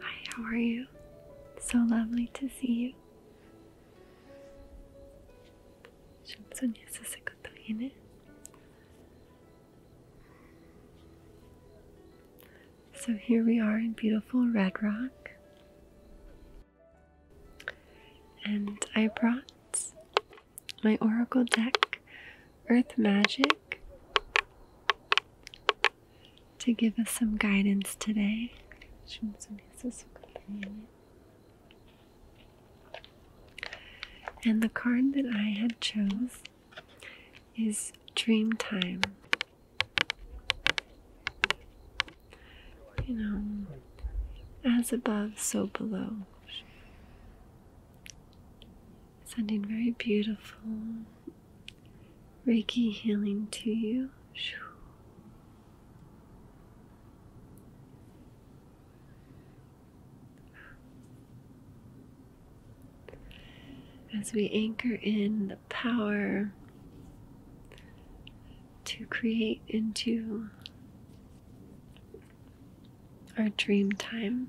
Hi, how are you? So lovely to see you. So here we are in beautiful Red Rock. And I brought my oracle deck Earth Magic to give us some guidance today. And the card that I had chose is Dream Time. You know, as above, so below sending very beautiful Reiki healing to you. As we anchor in the power to create into our dream time.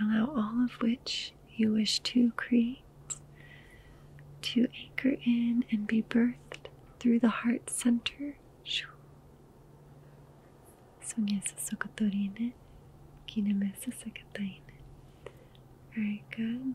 Allow all of which you wish to create to anchor in and be birthed through the heart center. Very good.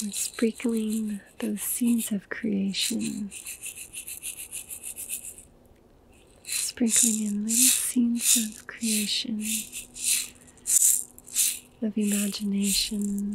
And sprinkling those seeds of creation, sprinkling in little seeds of creation, of imagination.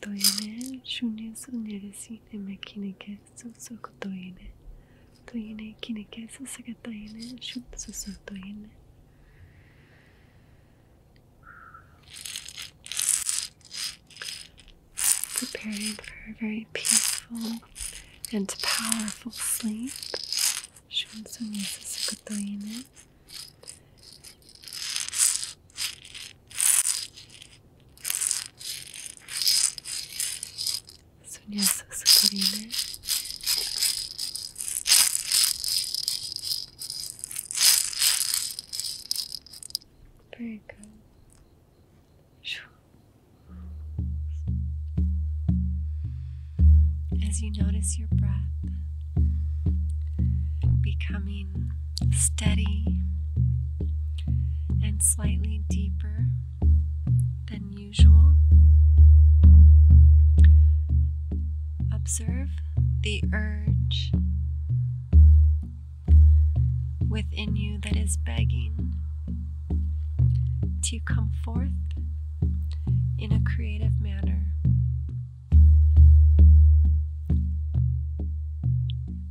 도연은 흉내 손녀를 시내며 기니게 쑥쑥 도연은 도연은 기니게 쑥쑥 도연은 쑥쑥 도연은 Preparing for a very peaceful and powerful sleep. 슌손 예수스 그도인은 そりゃさすがにねブレイクシュ As you notice your breath becoming steady and slightly deeper than usual. Observe the urge within you that is begging to come forth in a creative manner.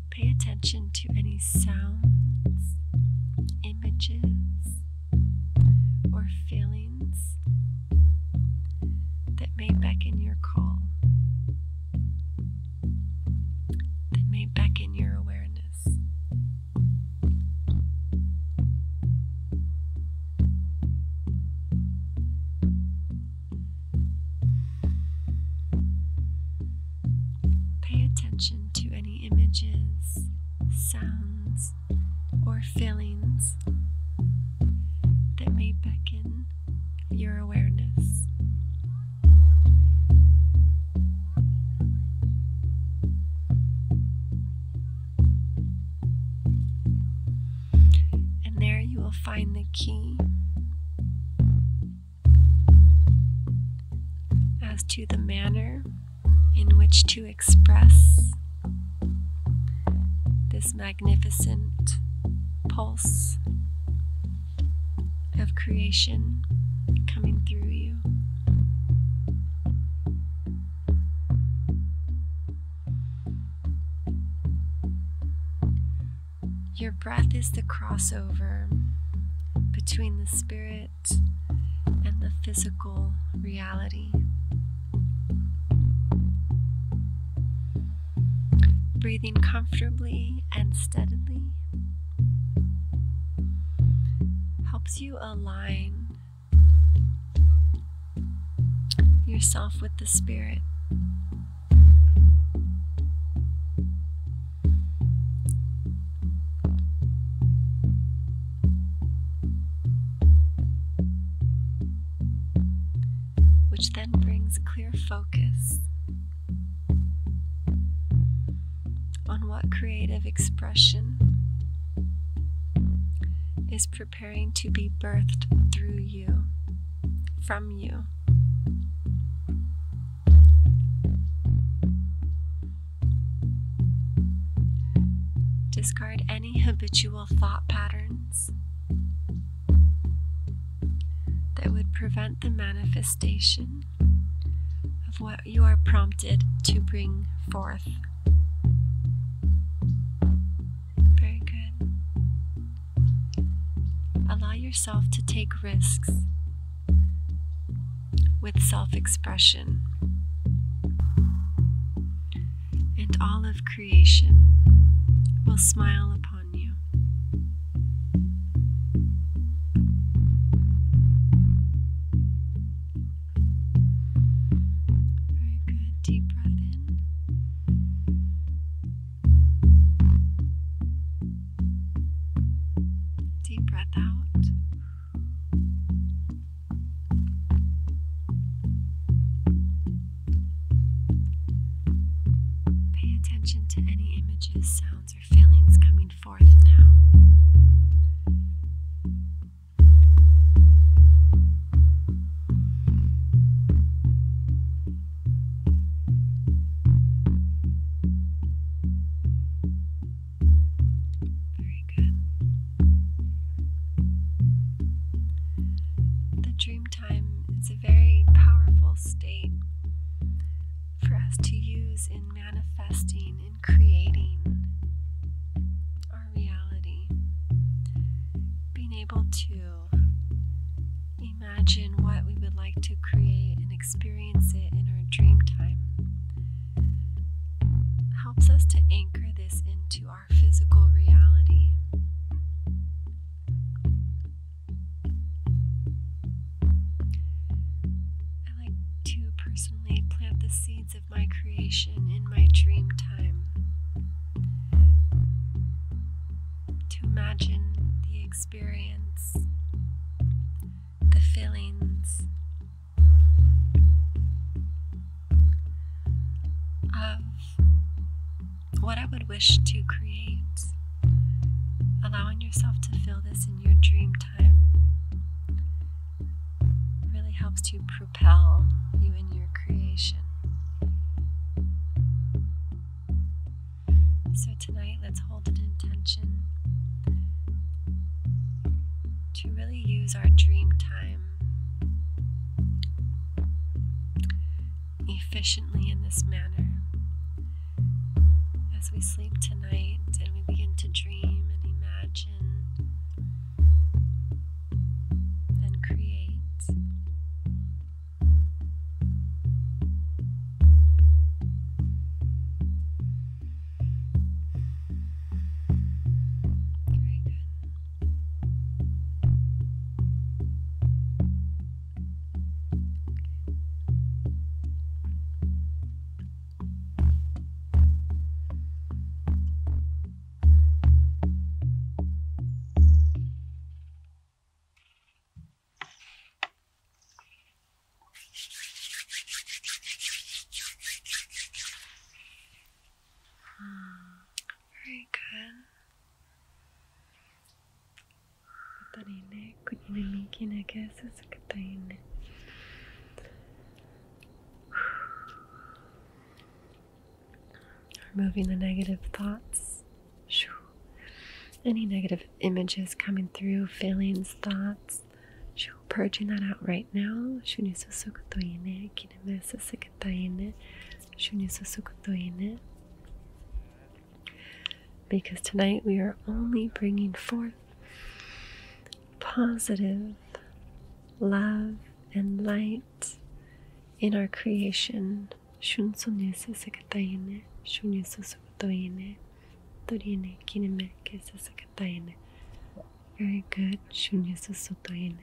Pay attention to any sounds, images, or feelings that may beckon your call, that may beckon your awareness. Pay attention to any images, sounds, or feelings that may beckon your awareness and there you will find the key as to the manner in which to express this magnificent pulse of creation coming through you. Your breath is the crossover between the spirit and the physical reality. Breathing comfortably and steadily helps you align yourself with the spirit which then brings clear focus on what creative expression is preparing to be birthed through you, from you. Discard any habitual thought patterns that would prevent the manifestation of what you are prompted to bring forth. Very good. Allow yourself to take risks with self expression and all of creation will smile upon you. Very good. Deep breath in Deep breath out. Pay attention to any images, sounds, or feelings coming forth now. Very good. The dream time is a very powerful state for us to use in manifesting and creating our reality. Being able to imagine what we would like to create and experience it in our dream time. Helps us to anchor this into our physical reality. I like to personally plant the seeds of my creation in my dream time to imagine the experience, the feelings of what I would wish to create, allowing yourself to feel this in your dream time. Really helps to propel you in your creation. So, tonight, let's hold an intention to really use our dream time efficiently in this manner. As we sleep tonight and we begin to dream and imagine and create very good. Okay. Very good. 語りね、国にきなきゃすすかたいね。Removing the negative thoughts. Any negative images coming through, feelings, thoughts. Purging that out right now. Because tonight we are only bringing forth positive love and light in our creation. Shunsonese Sakataine, Shunyusa Sakatoine, Torine Kinemeke Sakataine. Very good, Shunyusa Sotoine.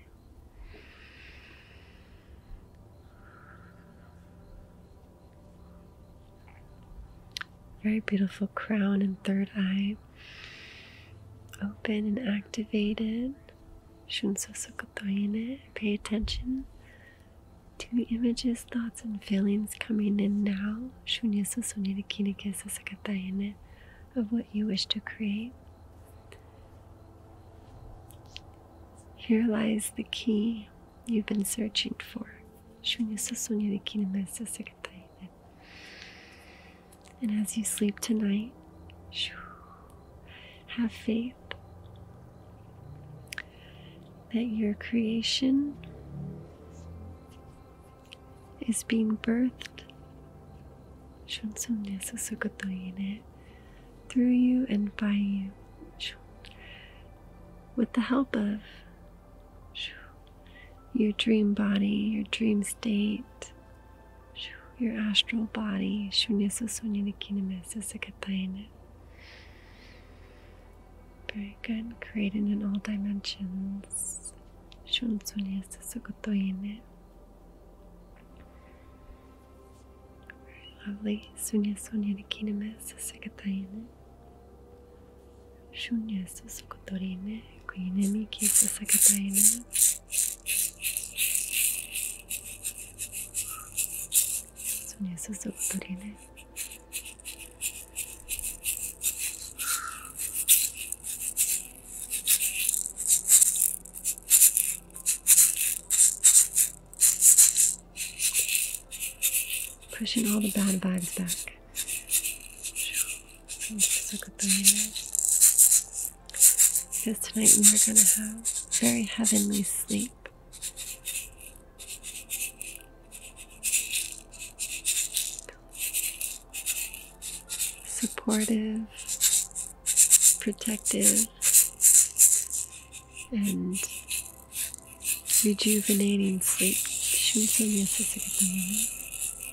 Very beautiful crown and third eye open and activated. Shunsosokotoine, pay attention to images, thoughts, and feelings coming in now. Shunyasosonikine of what you wish to create. Here lies the key you've been searching for. Shunyasosonikine and as you sleep tonight, have faith that your creation is being birthed through you and by you with the help of your dream body, your dream state, your astral body, shunyasa sunyana kinamasa Very good. Created in all dimensions. Shun sunyasa sukotoyene. Very lovely. Sunya sunyana kinamasa sakatayene. Shunyasa sukotorine. Kuinemi kisa sakatayene. 손에 쑥쑥 뿌리는 pushing all the bad vibes back because tonight we are going to have very heavenly sleep. Supportive, protective, and rejuvenating sleep.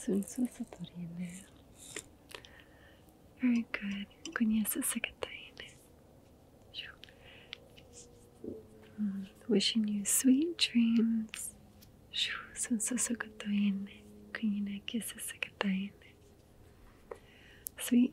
Sunsusatorine. Very good. Kunyasa Sakataine. Mm, wishing you sweet dreams. So good to Sunsusakataine. Kunyina Kisa Sakataine. Sweet